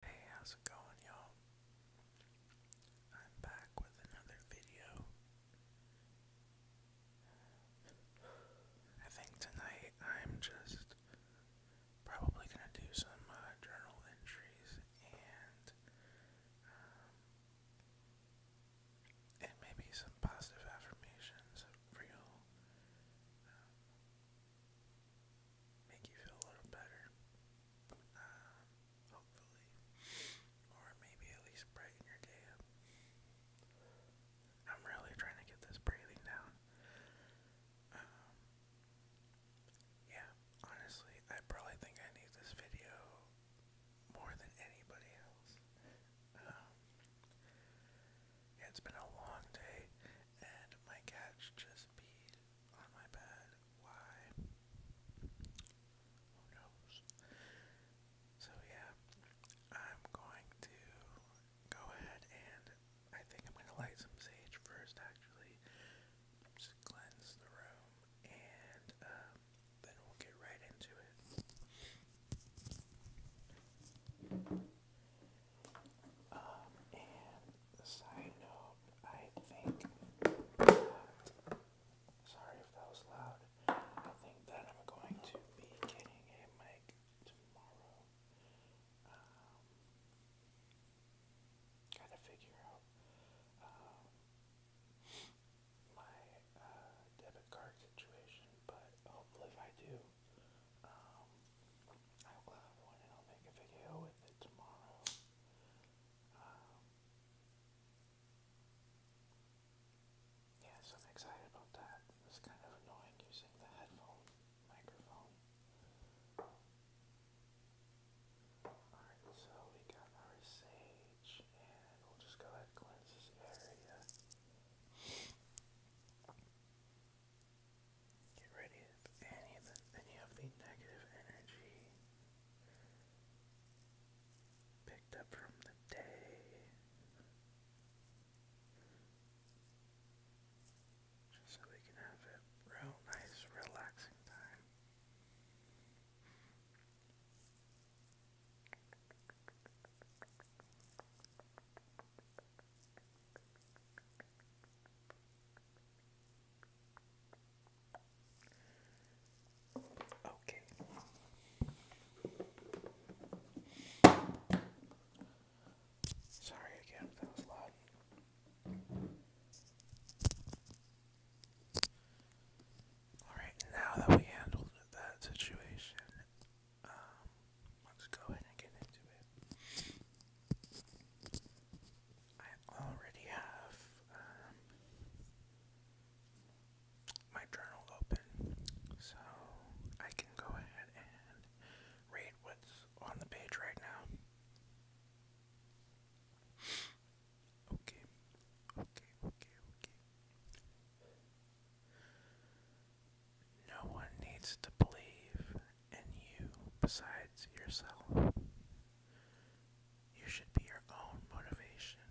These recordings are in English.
Hey, how's it going, y'all? I'm back with another video. I think tonight I'm just probably gonna do some uh, journal entries um, and maybe some positive affirmations for you um, make you feel a little better, um, hopefully, or maybe at least brighten your day up. I'm really trying to get this breathing down. Um, yeah, honestly, I probably think I need this video more than anybody else. Um, it's been a long day, and my cat's just peed on oh, my bed. Why? Who knows? So yeah, I'm going to go ahead and I think I'm gonna light some sage first actually. Just cleanse the room and um, then we'll get right into it and side note, I think that, sorry if that was loud, I think that I'm going to be getting a mic tomorrow. Um, got figure out, my, debit card situation, but hopefully I do, um, um, yeah, so I'm excited about that. It kind of annoying using the headphone microphone. Alright, so we got our sage, and we'll just go ahead and cleanse this area. Get rid of any of the, the negative energy picked up from the day. Just so we can have a real nice relaxing time. Okay. Sorry again that was loud. Alright, now that we handled that situation, um, let's go ahead and get into it. I already have um, my journal open, so I can go ahead and read what's on the page right now. Okay, okay, okay, okay. No one needs to believe and you besides yourself. You should be your own motivation.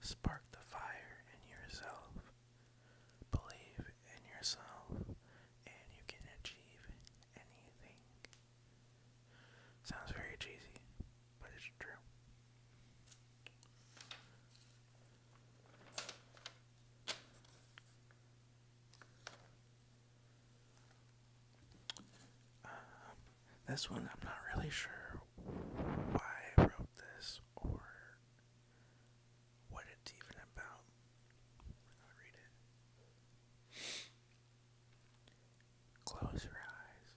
Spark the fire in yourself. Believe in yourself, and you can achieve anything. Sounds very cheesy, but it's true. Um, this one, I'm not really sure why I wrote this or what it's even about. Close your eyes,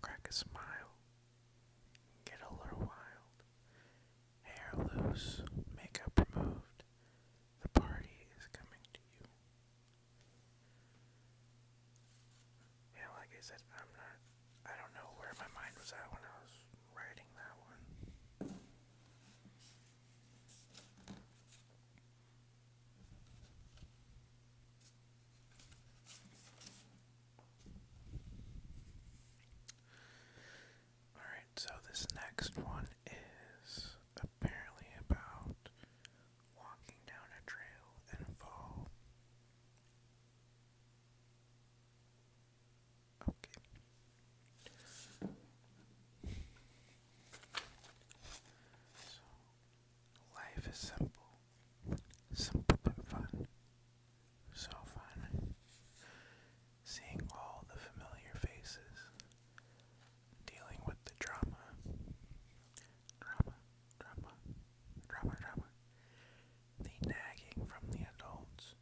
crack a smile, get a little wild, hair loose, makeup removed, the party is coming to you. Yeah, like I said, I'm not. I don't know where my mind was at when I was writing that one. Alright, so this next one is apparently about walking down a trail and fall. Okay. life is simple. Simple but fun. So fun seeing all the familiar faces, dealing with the drama. Drama, drama, drama, drama. The nagging from the adults.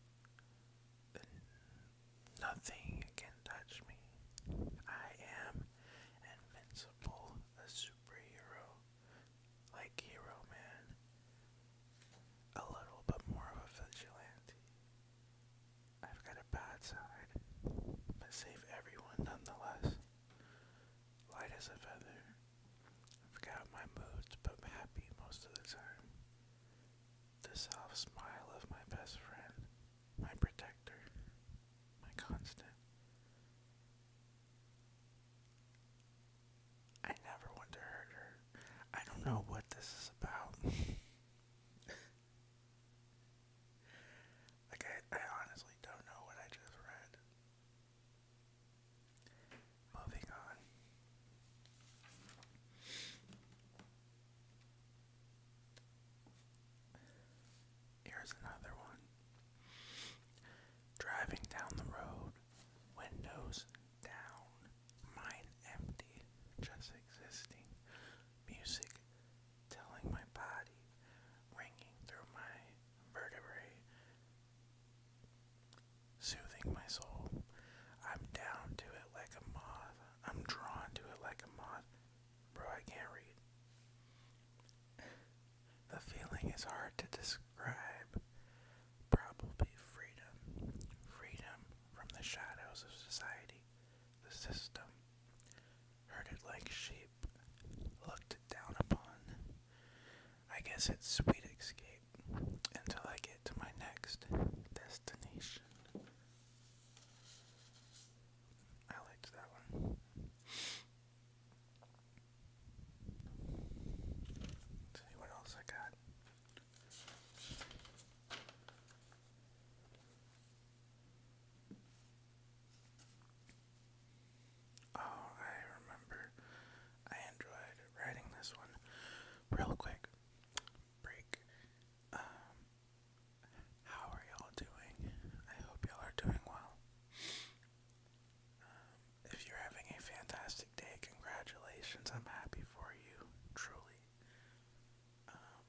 nothing can touch me. I am invincible, a superhero, like Hero Man. A little, but more of a vigilante. I've got a bad side, but save everyone nonetheless. Light as a feather. I've got my moods, but happy most of the time. The soft smile of my best friend, my protector, my constant. I never want to hurt her. I don't know what this is about. Like, I, honestly don't know what I just read. Moving on. Here's another one. Driving down the road, windows down, mind empty, just existing. Music telling my body, ringing through my vertebrae, soothing my soul. I'm down to it like a moth. I'm drawn to it like a moth. Bro, I can't read. The feeling is hard to describe. Probably freedom. Freedom from the shadows of society the system, herded like sheep, looked down upon. I guess it's sweet escape until I get to my next destination. I liked that one. let else I got. Oh, I remember. I enjoyed writing this one. Real quick break. Um, how are y'all doing? I hope y'all are doing well. Um, if you're having a fantastic day, congratulations. I'm happy for you, truly. Um,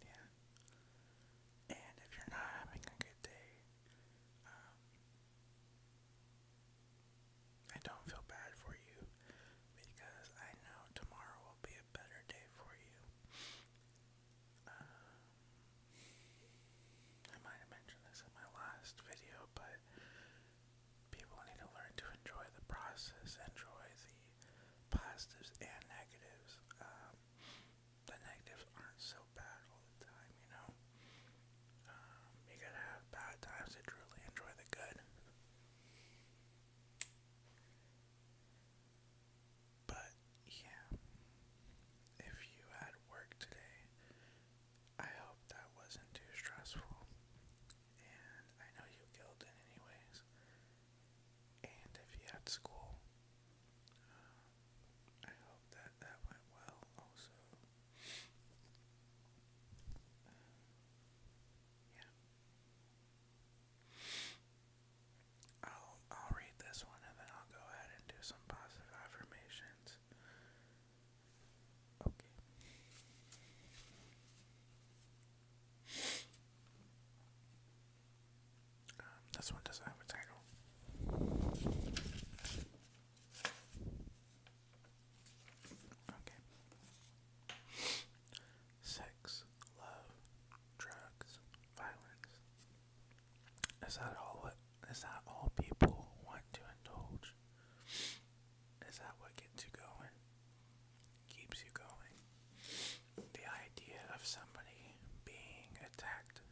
yeah. And if you're not having a good day, um, I don't feel bad for you because I know tomorrow will be a better day for you. Um, I might have mentioned this in my last video, but People need to learn to enjoy the process, enjoy the positives and negatives. Um, the negatives aren't so bad all the time, you know. Um, you got have bad times to truly enjoy the good. But yeah, if you had work today, I hope that wasn't too stressful and I know you killed anyways. And if you had school, uh, I hope that that went well also. yeah. I'll I'll read this one and then I'll go ahead and do some positive affirmations. Okay. Um, this one doesn't have a title. Okay. Sex, love, drugs, violence. Is that all what is that all people want to indulge? Is that what gets you going? Keeps you going. The idea of somebody being attacked.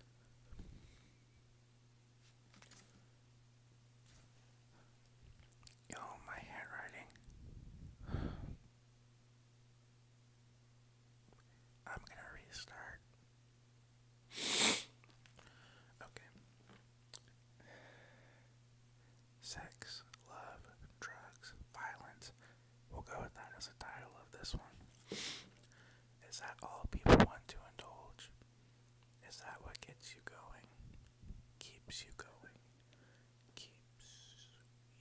Oh, my handwriting. I'm gonna restart. Okay. Sex, love, drugs, violence. We'll go with that as a title of this one. Is that all people want to indulge? Is that what gets you going? Keeps you going. Keeps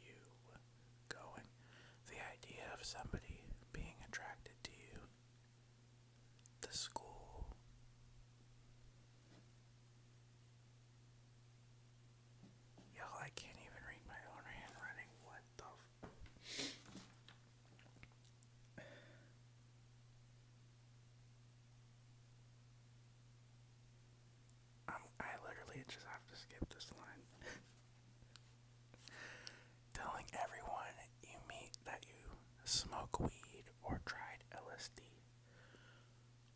you going. The idea of somebody being attracted to you the school. Y'all, I can't even read my own handwriting. What the f literally just have to skip this line. Telling everyone you meet that you smoke weed or tried LSD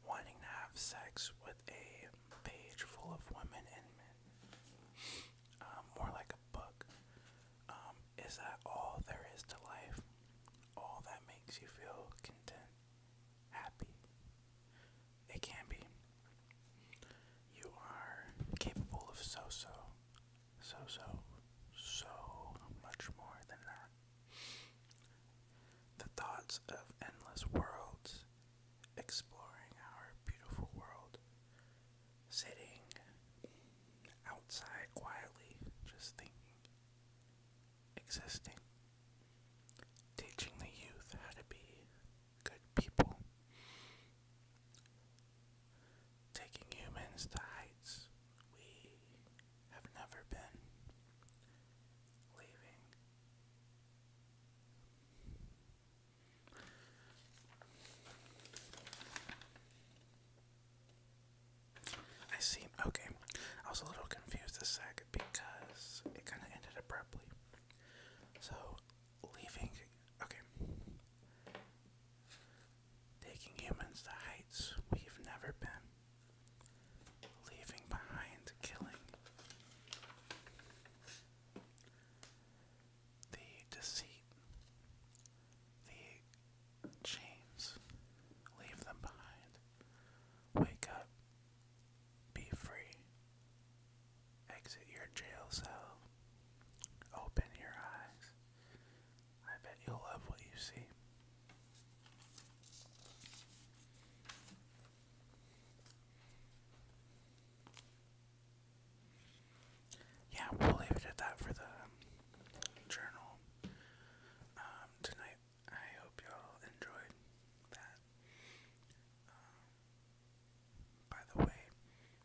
wanting to have sex with a page full of women and men, um, more like a book. Um, is that all there is to life? All that makes you feel content, happy? It can be. You are capable of so so, so so, so much more than that. The thoughts of endless worlds, exploring our beautiful world, sitting outside quietly, just thinking, existing, teaching the youth how to be good people, taking humans to heights we have never been leaving. I see. Okay. I was a little confused this sec because it kind of ended abruptly. So, leaving. Okay taking humans to heights we've never been, leaving behind killing. The deceit, the chains, leave them behind. Wake up, be free, exit your jail cell, open your eyes. I bet you'll love what you see. Yeah, we'll leave it at that for the journal um, tonight. I hope y'all enjoyed that. Um, by the way,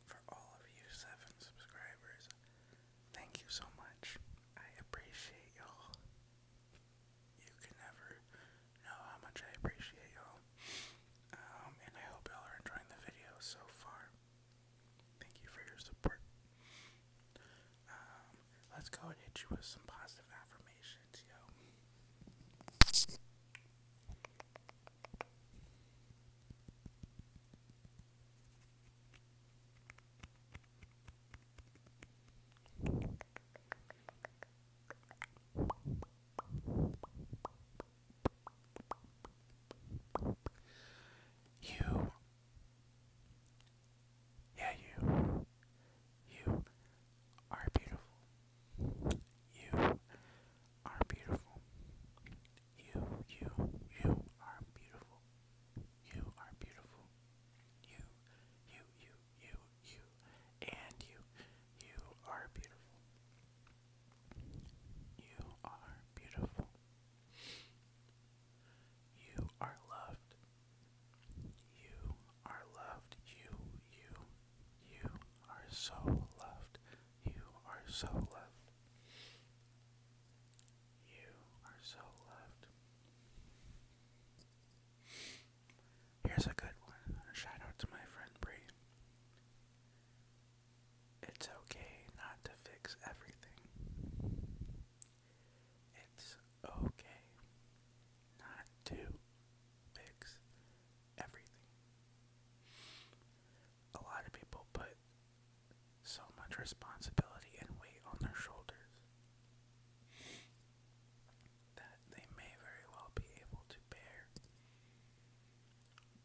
for all of you seven subscribers, Thank you so much. I appreciate y'all. You can never know how much I appreciate y'all. Um, and I hope y'all are enjoying the video so far. Thank you for your support. Um, let's go and hit you with some positive affirmations, yo. You. Yeah, you. You are beautiful. You are beautiful. You, you, you are beautiful. You are beautiful. You, you, you, you, you, and you. You are beautiful. You are beautiful. You are loved. You are loved. You, you, you are so loved. You are so loved. You are so loved. Here's a good one. shout out to my friend Bree. It's okay not to fix everything. It's okay not to fix everything. A lot of people put so much responsibility and weight on their shoulders that they may very well be able to bear,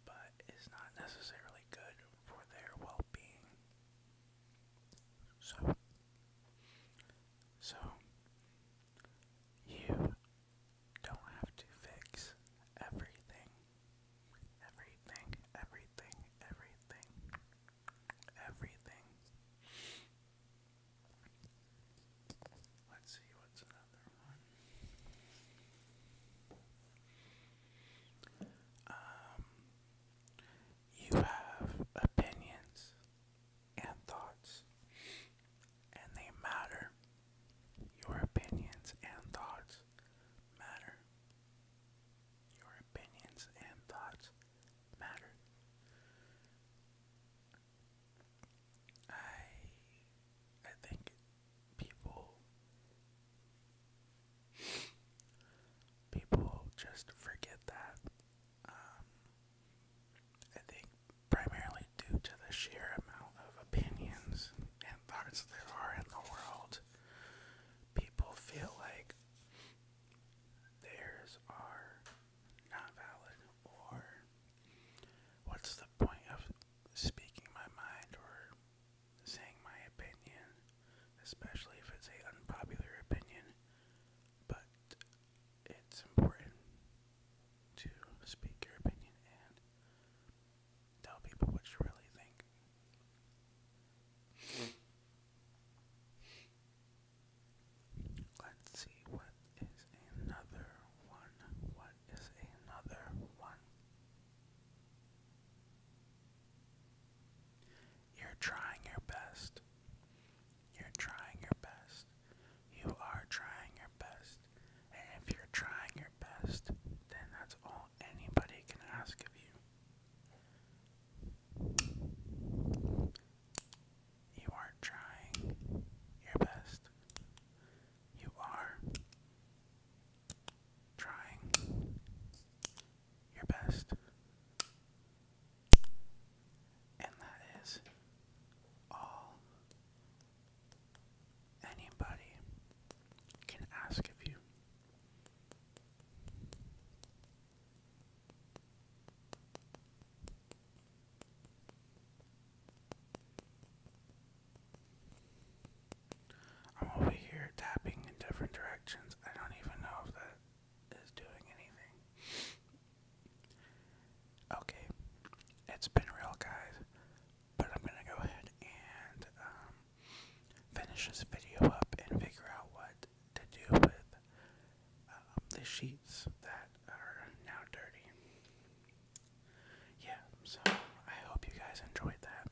but is not necessarily good for their well being. So, so you don't have to fix everything, everything, everything, everything everything. Let's see what's another one. Um, you have opinions and thoughts, and they matter. Your opinions and thoughts matter. Your opinions and thoughts matter. I I think people people just forget that. Um, I think primarily due to the sheer amount of opinions and thoughts there are in the world, people feel like theirs are not valid, or what's the point of speaking my mind or saying my opinion, especially if it's an unpopular opinion, but it's important to speak your opinion and tell people what you really think. Let's see what is another one. What is another one? You're trying your best. You're trying your best. You are trying your best. And if you're trying your best, then that's all anybody can ask of you. You are trying your best. You are trying your best. And that is all anybody can ask of you. I'm over here tapping in different directions. I don't even know if that is doing anything. Okay, it's been real, guys, but I'm gonna go ahead and um, finish this video up and figure out what to do with um, the sheets that are now dirty. Yeah, so I hope you guys enjoyed that.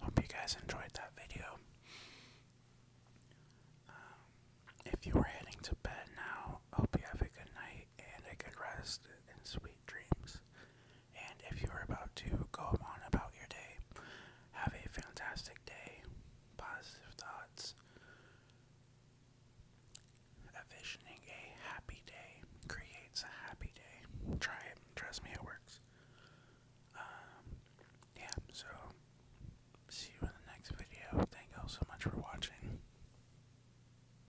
Hope you guys enjoyed that video. Um, if you were heading to bed now, hope you have a good night and a good rest in sweet dreams. And if you are about to go on about your day, have a fantastic day, positive thoughts, Visioning a happy day creates a happy day. Try it, trust me, it works. Um, yeah, so see you in the next video. Thank you so much for watching.